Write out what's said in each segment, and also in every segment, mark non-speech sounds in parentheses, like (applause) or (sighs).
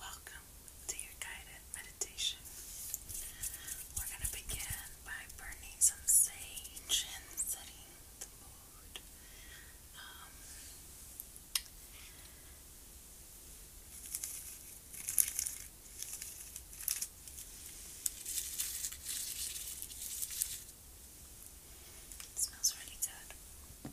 Welcome to your guided meditation. We're going to begin by burning some sage and setting the mood. Um, it smells really good.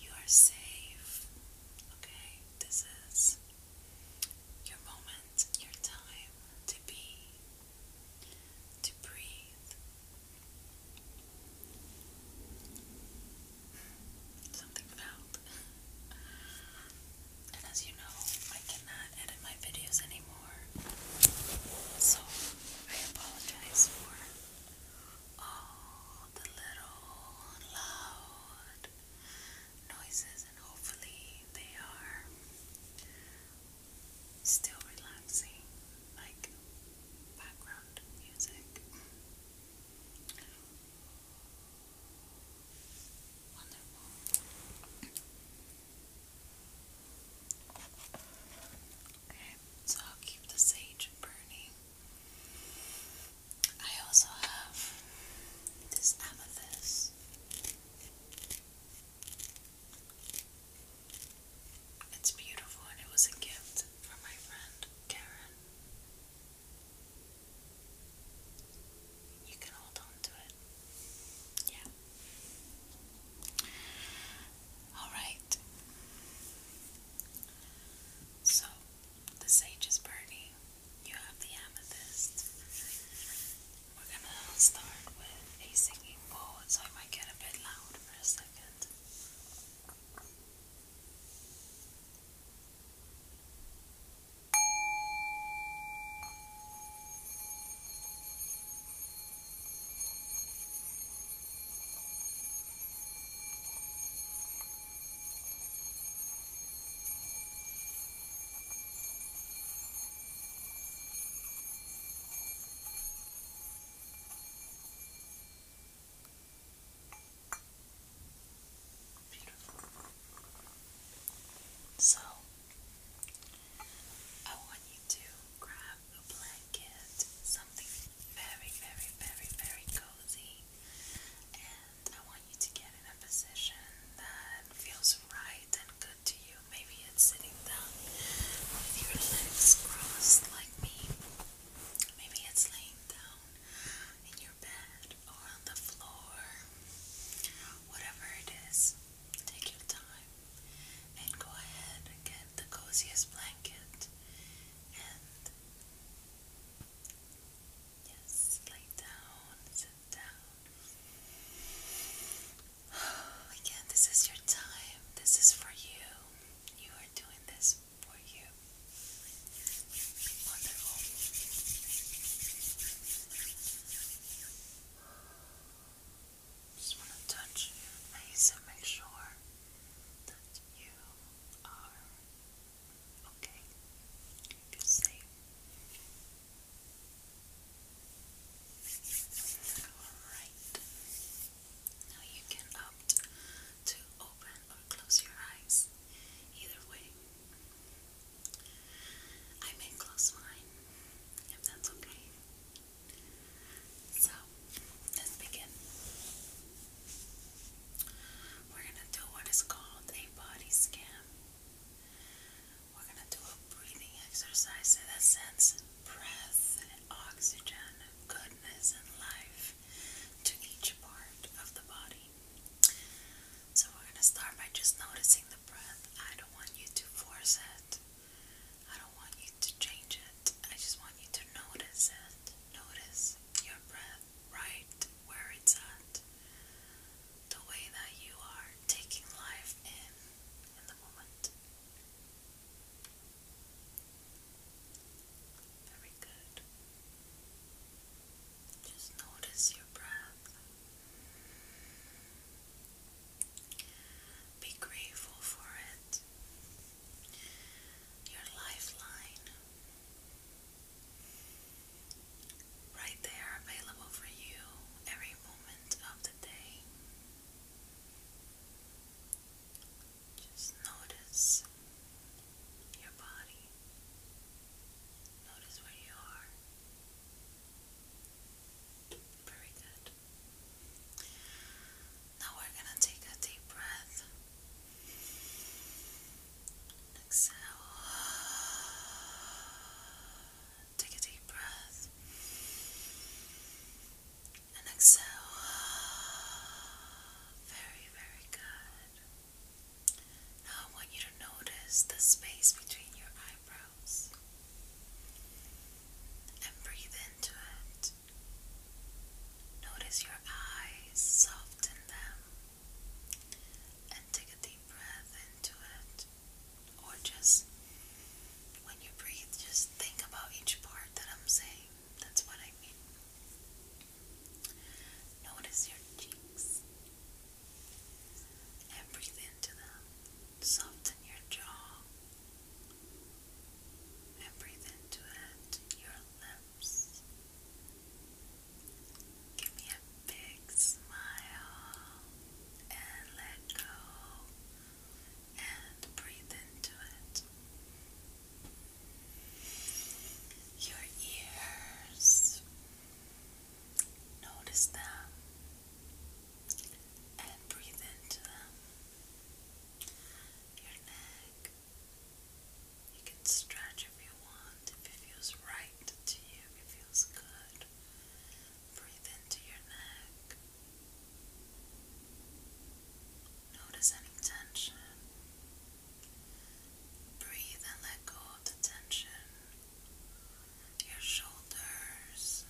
You are safe. Okay? This is your moment, your time to be, to breathe. Something felt. And as you know, I cannot edit my videos anymore. So I apologize for all the little loud noises, and hopefully they are still relaxing, like background music. Okay, so I'll keep the sage burning. I also have this amethyst. It's beautiful and it was a gift from my friend Karen you can hold on to it. Yeah. Alright. So, the sage is burning. You have the amethyst. We're gonna start with a singing bowl, so I might get a bit loud for a second. Beautiful. So I want you to grab a blanket, something very, very, very, very cozy, and I want you to get in a position that feels right and good to you. Maybe it's sitting down with your legs crossed like me. Maybe it's laying down in your bed or on the floor whatever it is, take your time and go ahead get the coziest blanket and yes, lay down, sit down. (sighs) Again, this is your time. This is for you. You are doing this for you. Wonderful. Just want to touch your face and make sure that you are okay. You feel safe. Alright. Now you can opt to open or close your eyes. Either way, I may close mine, if that's okay. So, let's begin. We're gonna do what is called a body scan. We're gonna do a breathing exercise that sends breath and oxygen, goodness, and life to each part of the body. So we're gonna start by just noticing the breath. I don't want you to force it. I don't want you to change it. I just want you to notice it. Notice your breath right where it's at. The way that you are taking life in in the moment. Very good. Just notice your breath. Be grateful for it. Your lifeline. Right there, available for you every moment of the day. Just notice your body. Notice where you are. Very good. Now we're going to take a deep breath. Exhale. Take a deep breath. And exhale. Very, very good. Now I want you to notice the space between your eyebrows and breathe into it. Notice your eyes, soften them, and take a deep breath into it. Or just when you breathe, just think about each part that I'm saying. That's what I mean. Notice your cheeks and breathe into them. Soften your jaw and breathe into it. Your lips. Give me a big smile and let go and breathe into it. Your ears. Notice them and breathe into them. Your neck. You can stretch if you want, if it feels right to you, if it feels good. Breathe into your neck. Notice any tension. Breathe and let go of the tension. Your shoulders.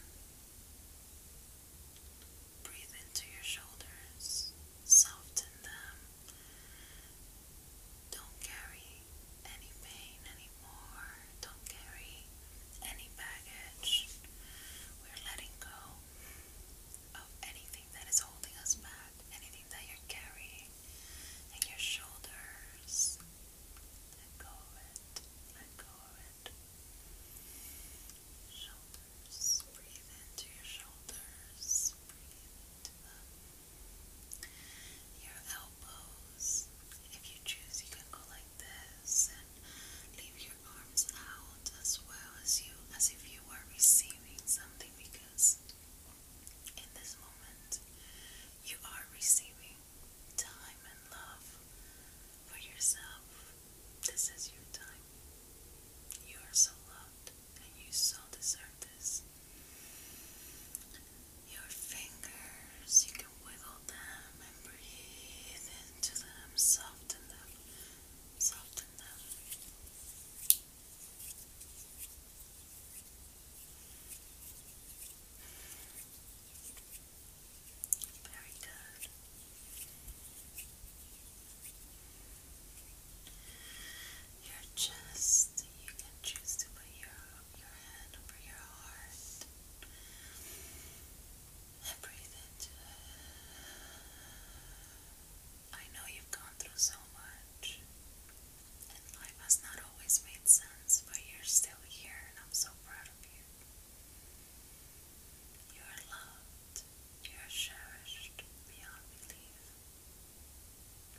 Breathe into your shoulders. Soften them. Don't carry any pain anymore. Don't carry any baggage. We're letting go of anything that is holding us back, anything everything that you're carrying in your shoulders. Let go of it. Let go of it. Shoulders. Breathe into your shoulders. Breathe Your elbows. If you choose, you can go like this and leave your arms out as well as you, as if you were receiving something because in this moment, you are receiving time and love for yourself. This is your time. You are so loved and you so deserve this. Your fingers, you can wiggle them and breathe into them, soften them, soften them. Very good. Your chest, you can choose to put your, your hand over your heart and breathe into I know you've gone through so much. And life has not always made sense, but you're still here, and I'm so proud of you. You are loved, you are cherished beyond belief.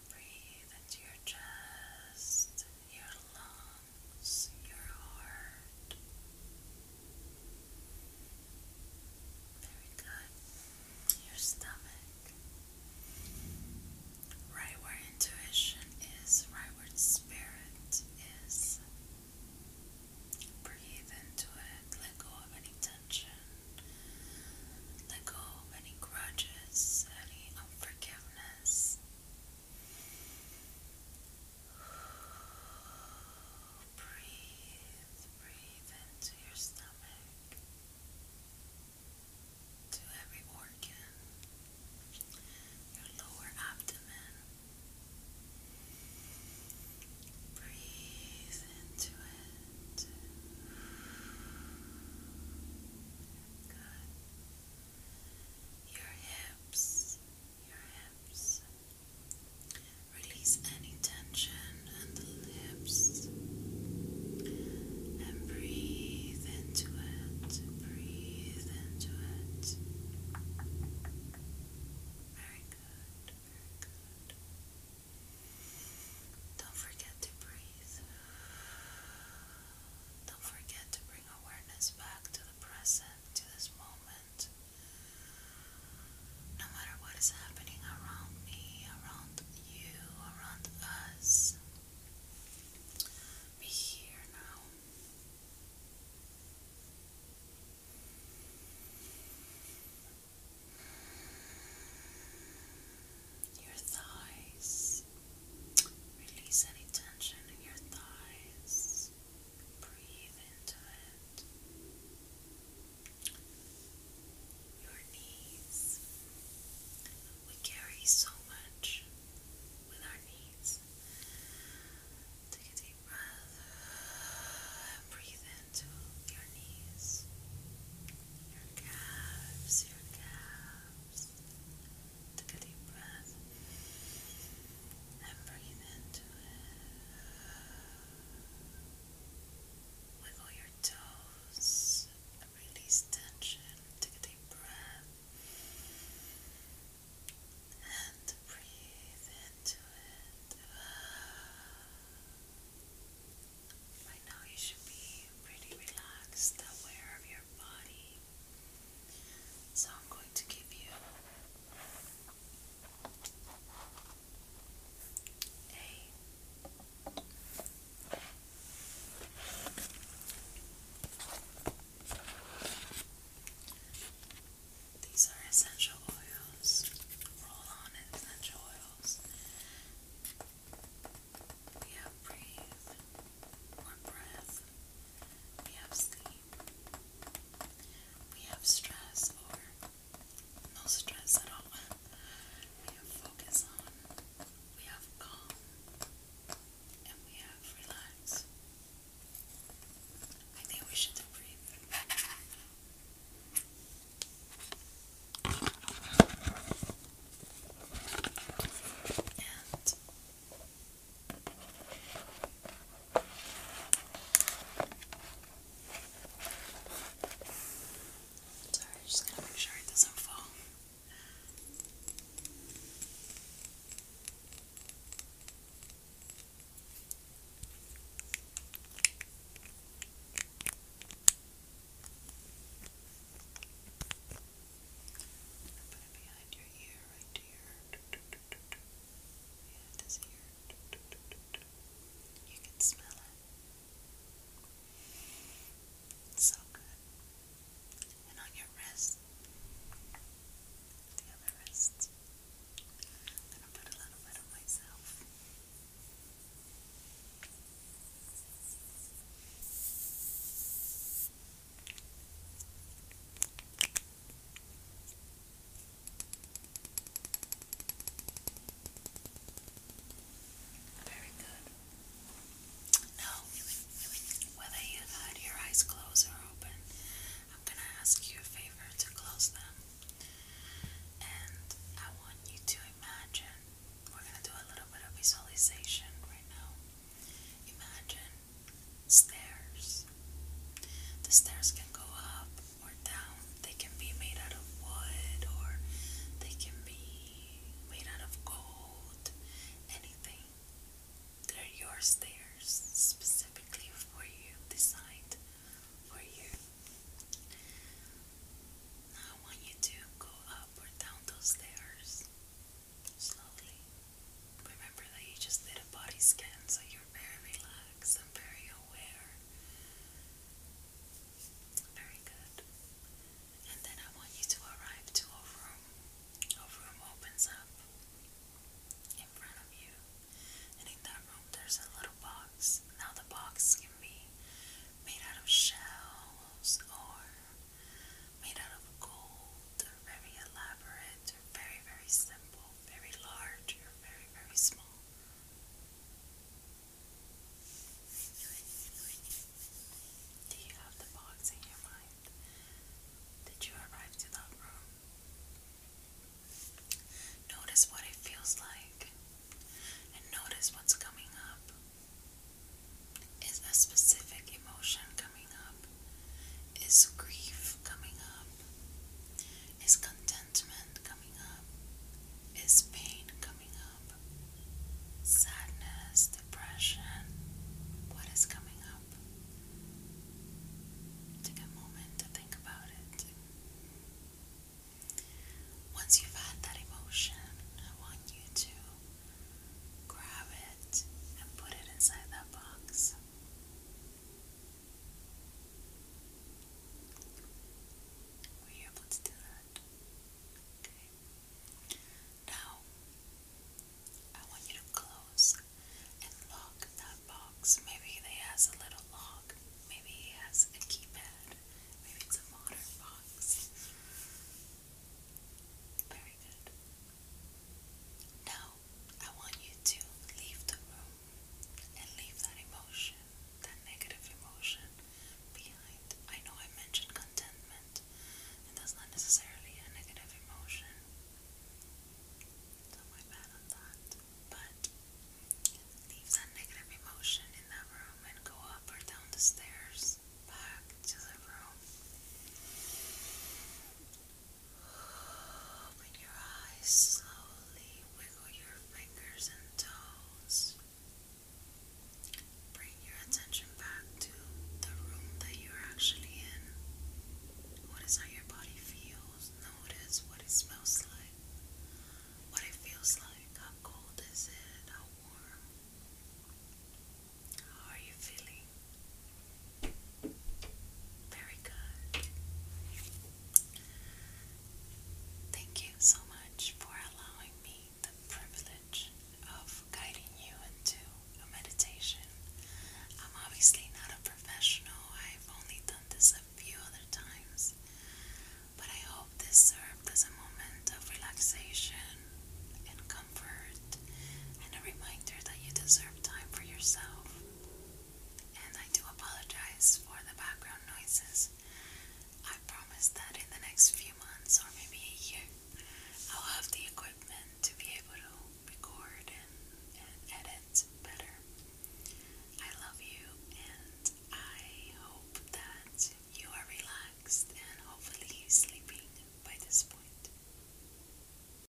Breathe into your chest, your lungs, your heart. Very good your stomach, right where intuition is, right where spirit is. Breathe into it, let go of any tension, let go of any grudges, any unforgiveness. (sighs) Breathe, breathe into your stomach to every organ, your lower abdomen. Breathe into it. Good. Your hips, your hips, Release any tension on the lips and breathe into it. Breathe into it. Very good, very good. Don't forget to breathe. Don't forget to bring awareness back to the present, to this moment. No matter what is happening around me, around you, around us, be here now. Your thighs. Release any tension in your thighs. Breathe into it your knees. We carry so much with our knees. Take a deep breath and breathe into your knees, your calves, your calves. Take a deep breath and breathe into it. Wiggle your toes. Release tension. Take a deep breath. And breathe into it. Right now, you should be pretty relaxed, aware of your body. So, I'm going to give you these are essential oils, roll on essential oils. We have breathe or breath, we have sleep, we have stress or no stress at all. We have focus on, we have calm, and we have relax. I think we should breathe. And Sorry, just gonna make sure it doesn't fall. put it behind your ear, right to yeah, this ear. You can smell it. It's so good. And on your wrist, the other wrist, I'm gonna put a little bit on myself. Good. Very good. Now, whether you had your eyes closed or open, I'm going to ask you a favor to close them. And I want you to imagine, we're going to do a little bit of visualization right now. Imagine stairs. The stairs can go up or down. They can be made out of wood or they can be made out of gold, anything. They're your stairs specifically for you, designed for you. I want you to go up or down those stairs slowly. Remember that you just did a body scan, so you you're very relaxed and very aware. Very good. And then I want you to arrive to a room. A room opens up in front of you. And in that room, there's a little box. Now, the box can be made out of shells or made out of gold, very elaborate, very, very simple, very large, very, very small. Do you have the box in your mind? Did you arrive to that room? Notice what it feels like and notice what's coming up. Is a specific emotion coming up? Is grief coming up? Is contentment? resentment coming up? Is pain coming up? Sadness, depression? What is coming up? Take a moment to think about it. Once you've had that emotion, I want you to grab it and put it inside that box. We oh, have, let's do that. Okay. Now, I want you to close and lock that box. Maybe it has a little lock. Maybe it has a keypad. Maybe it's a modern box. Very good. Now, I want you to leave the room and leave that emotion, that negative emotion behind. I know I mentioned contentment, and that's not necessarily a negative emotion. So my that. But leave that negative emotion in that room and go up or down the stairs back to the room. Open your eyes slowly, wiggle your fingers and toes. Bring your attention back to the room that you're actually in. What is how your body feels. Notice what it smells like, what it feels like. How cold is it? How warm? How are you feeling? Very good. Thank you so much for allowing me the privilege of guiding you into a meditation. I'm obviously not a professional, I've only done this a few other times, but I hope this served as a moment of relaxation and comfort and a reminder that you deserve time for yourself and I do apologize for the background noises. I promise that in the next few months or maybe a year, I'll have the equipment to be able to record and, and edit better. I love you and I hope that you are relaxed and hopefully sleeping by this point.